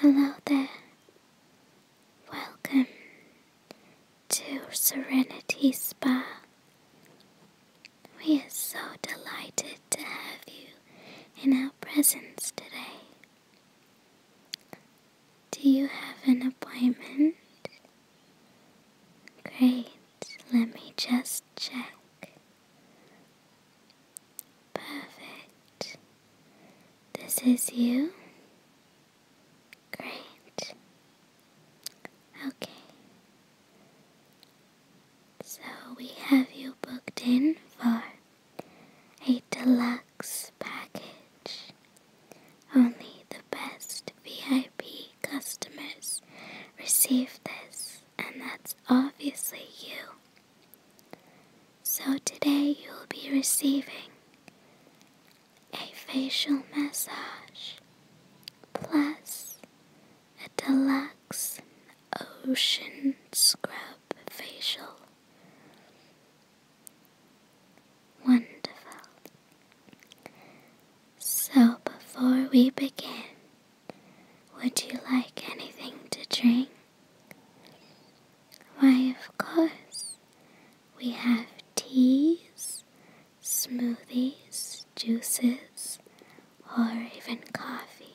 Hello there. Welcome to Serenity Spa. We are so delighted to have you in our presence today. Do you have an appointment? Great, let me just check. Perfect. This is you. Great. Okay. So we have you booked in for a deluxe package. Only the best VIP customers receive this, and that's obviously you. So today you will be receiving a facial massage plus a deluxe ocean scrub facial. Wonderful. So before we begin, would you like anything to drink? Why, of course, we have teas, smoothies, juices, or even coffee.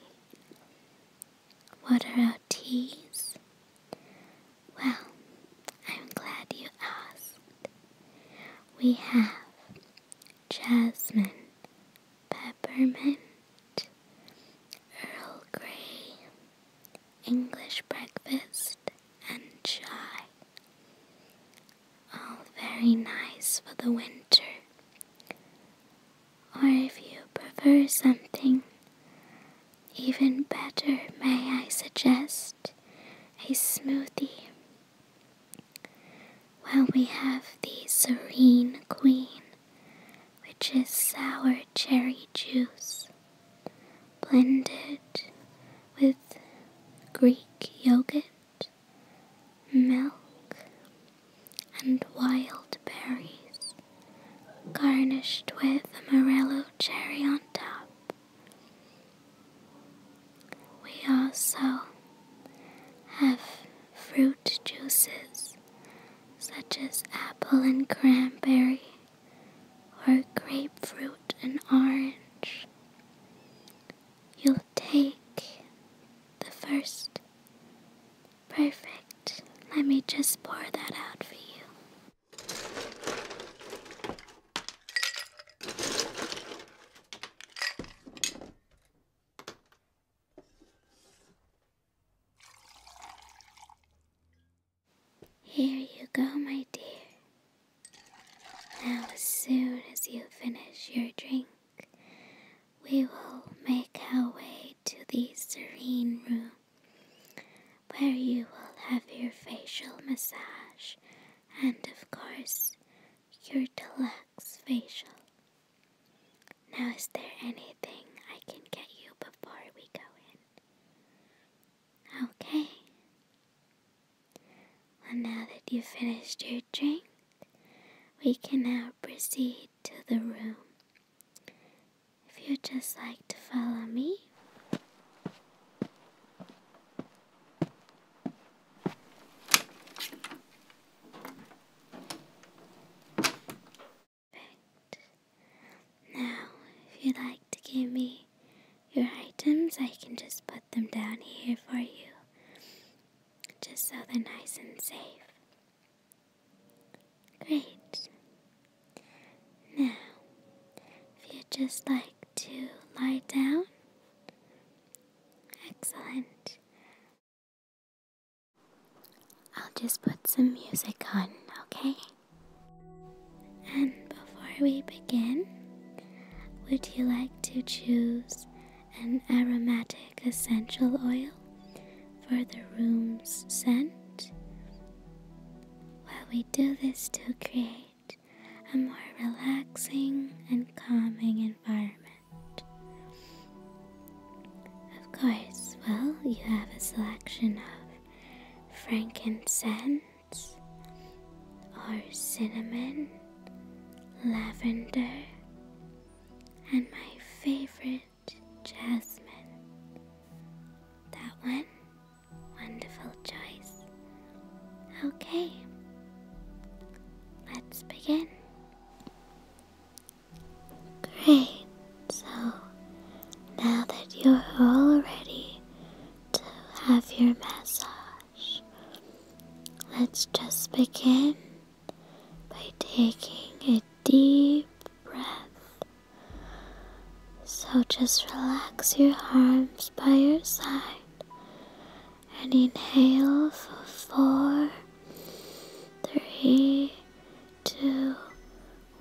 What are our teas? Well, I'm glad you asked. We have jasmine peppermint, Earl Grey, English breakfast, and chai. All very nice for the winter. Or if you prefer something even better, may I suggest a smoothie? While we have the Serene Queen which is sour cherry juice blended with Greek yogurt, milk, and wild berries, garnished with Amarillo cherry on top. We also have fruit juices such as apple and cranberry, or grapefruit and orange. You'll take the first. Perfect. Let me just pour that out for you. Here you go, my dear. Now, as soon as you finish your drink, we will make our way to the serene room where you will have your facial massage and, of course, your deluxe facial. Now, is there anything I can get you before we go in? Okay. Well, now that you've finished your drink, we can now proceed to the room. If you'd just like to follow me. Now, if you'd like to give me your items, I can just put them down here for you, just so they're nice and safe. Great. Now, if you'd just like to lie down, excellent. I'll just put some music on, okay? And before we begin, would you like to choose an aromatic essential oil for the room's scent? While we do this to create a more relaxing and calming environment. Of course, well, you have a selection of frankincense or cinnamon, lavender, and my favorite, jasmine. That one? Wonderful choice. Okay, let's begin. Great. So now that you're all ready to have your massage, let's just begin by taking a deep breath. So just relax your arms by your side and inhale for four three, two,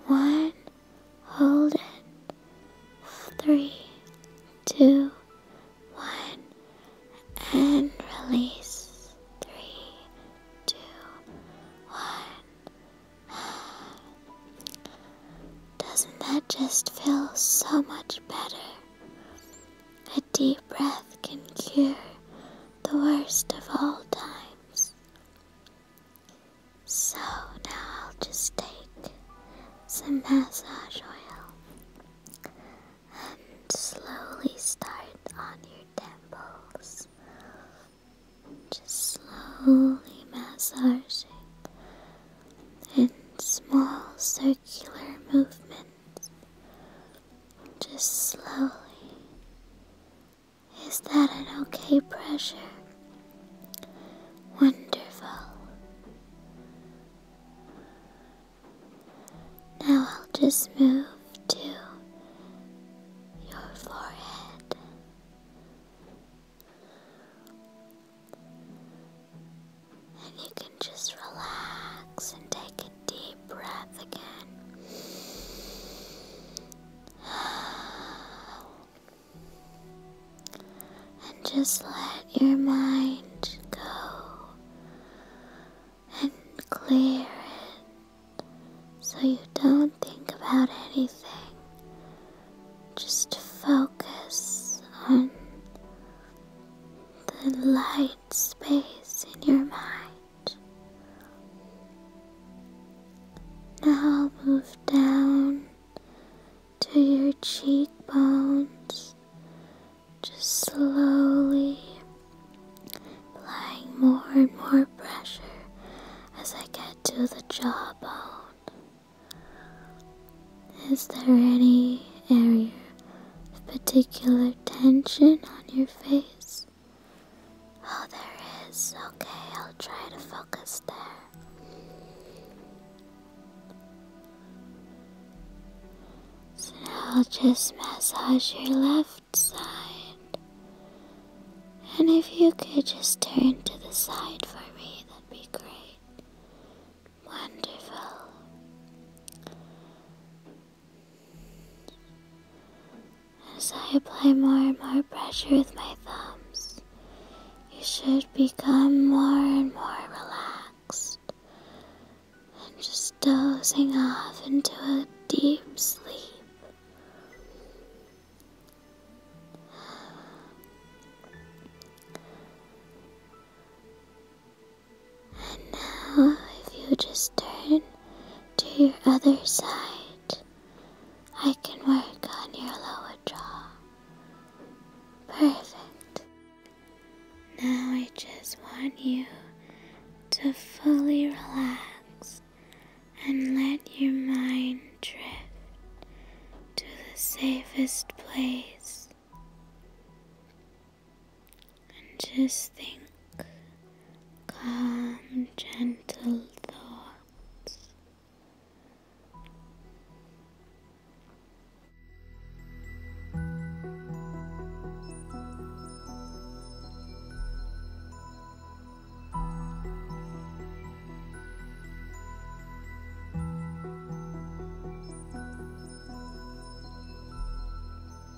one. Hold it. Three, two, one, and release. Three, two, one. Doesn't that just feel so much better? A deep breath can cure the worst of all times. So now I'll just take some massage oil and slowly start on your temples. Just slowly massaging in small circular movements just slowly. Is that an okay pressure? Wonderful. Now I'll just move to your forehead. And you can just relax and take it deep breath again. And just let your mind go and clear it so you don't think about anything. Just focus on the light space in your mind. Now move down to your cheekbones, just slowly applying more and more pressure as I get to the jawbone. Is there any area a particular tension on your face? Oh, there is. Okay, I'll try to focus there. So I'll just massage your left side. And if you could just turn to the side for me, that'd be great. Wonderful. As I apply more and more pressure with my thumbs, you should become more and more relaxed and just dozing off into a deep sleep. And now, if you just turn to your other side, I can work on your lower jaw. Perfect. Now I just want you to fully relax and let your mind drift to the safest place and just think calm, gentle thoughts.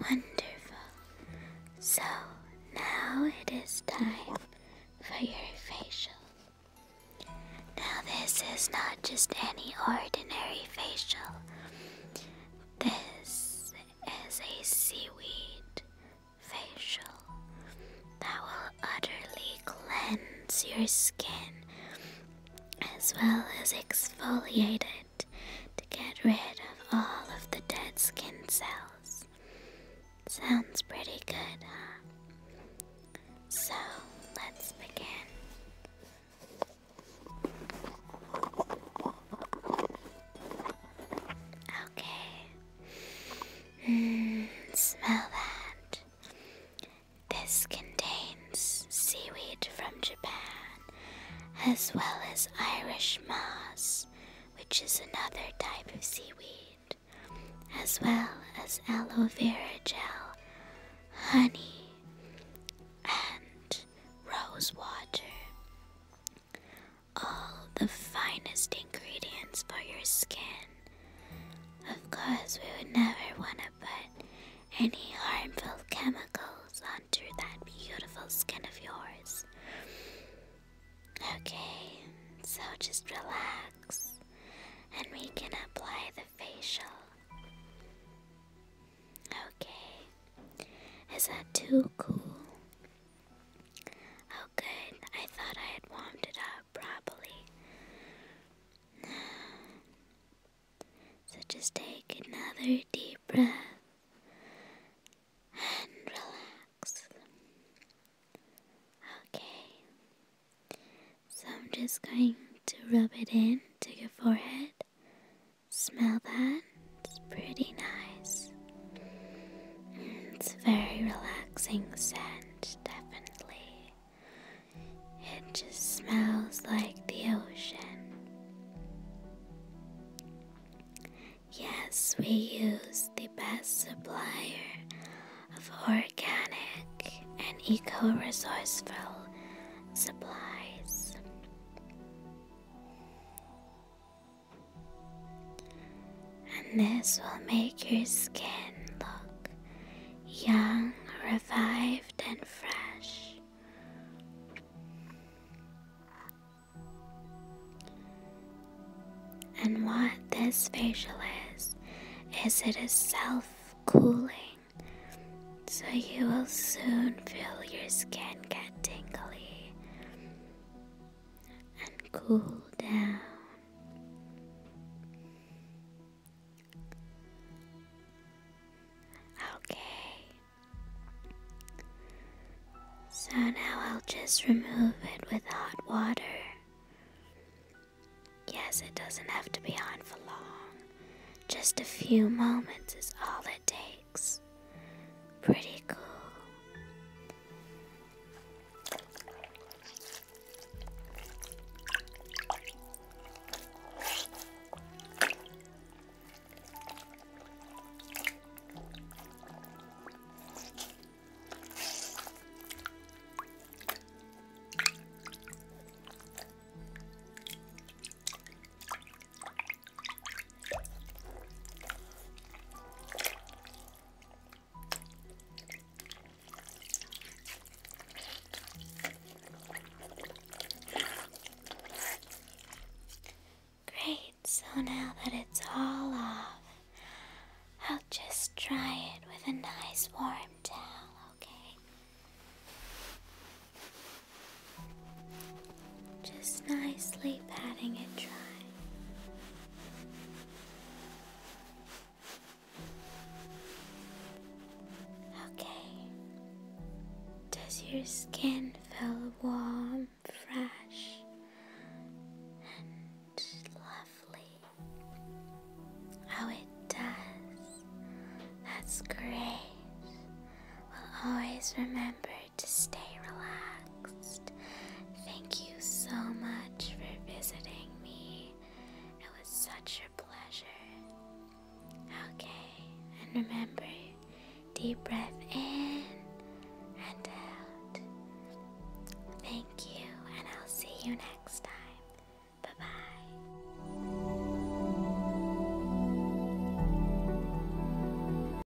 Wonderful. So now it is time for your facial. Now, this is not just any ordinary facial, this is a seaweed facial that will utterly cleanse your skin as well as exfoliate it to get rid of all of the dead skin cells. Sounds pretty good, huh? So let's begin. Okay, Hmm, smell that. This contains seaweed from Japan as well as Irish moss, which is another type of seaweed, as well as aloe vera gel, honey, and rose water all the finest ingredients for your skin. Of course, we would never want to put any harmful chemicals onto that beautiful skin of yours. Okay, so just relax and we can apply the facial. Okay, is that too cool? Oh, good. I thought I had warmed it up properly. So just take another deep breath and relax. Okay. So I'm just going to rub it in to your forehead. Smell that. It's pretty nice. It's very relaxing scent, definitely. It just smells like the ocean. Yes, we use the best supplier of organic and eco resourceful supplies. And this will make your skin look young, revived, and fresh. And what this facial is, is it is self cooling. So you will soon feel your skin get tingly and cool down. Okay. So now I'll just remove it with hot water. Yes, it doesn't have to be on for long. Just a few moments is all it takes. Pretty cool. Great, so now that it's all off, I'll just dry it with a nice warm towel, okay? Just nicely patting it dry. Okay. Does your skin feel warm, fresh, and lovely? Oh, it does. That's great. We'll always remember to stay relaxed. Thank you so much for visiting me. It was such a pleasure. Okay, and remember deep breath in and out. Thank you, and I'll see you next time. Bye bye.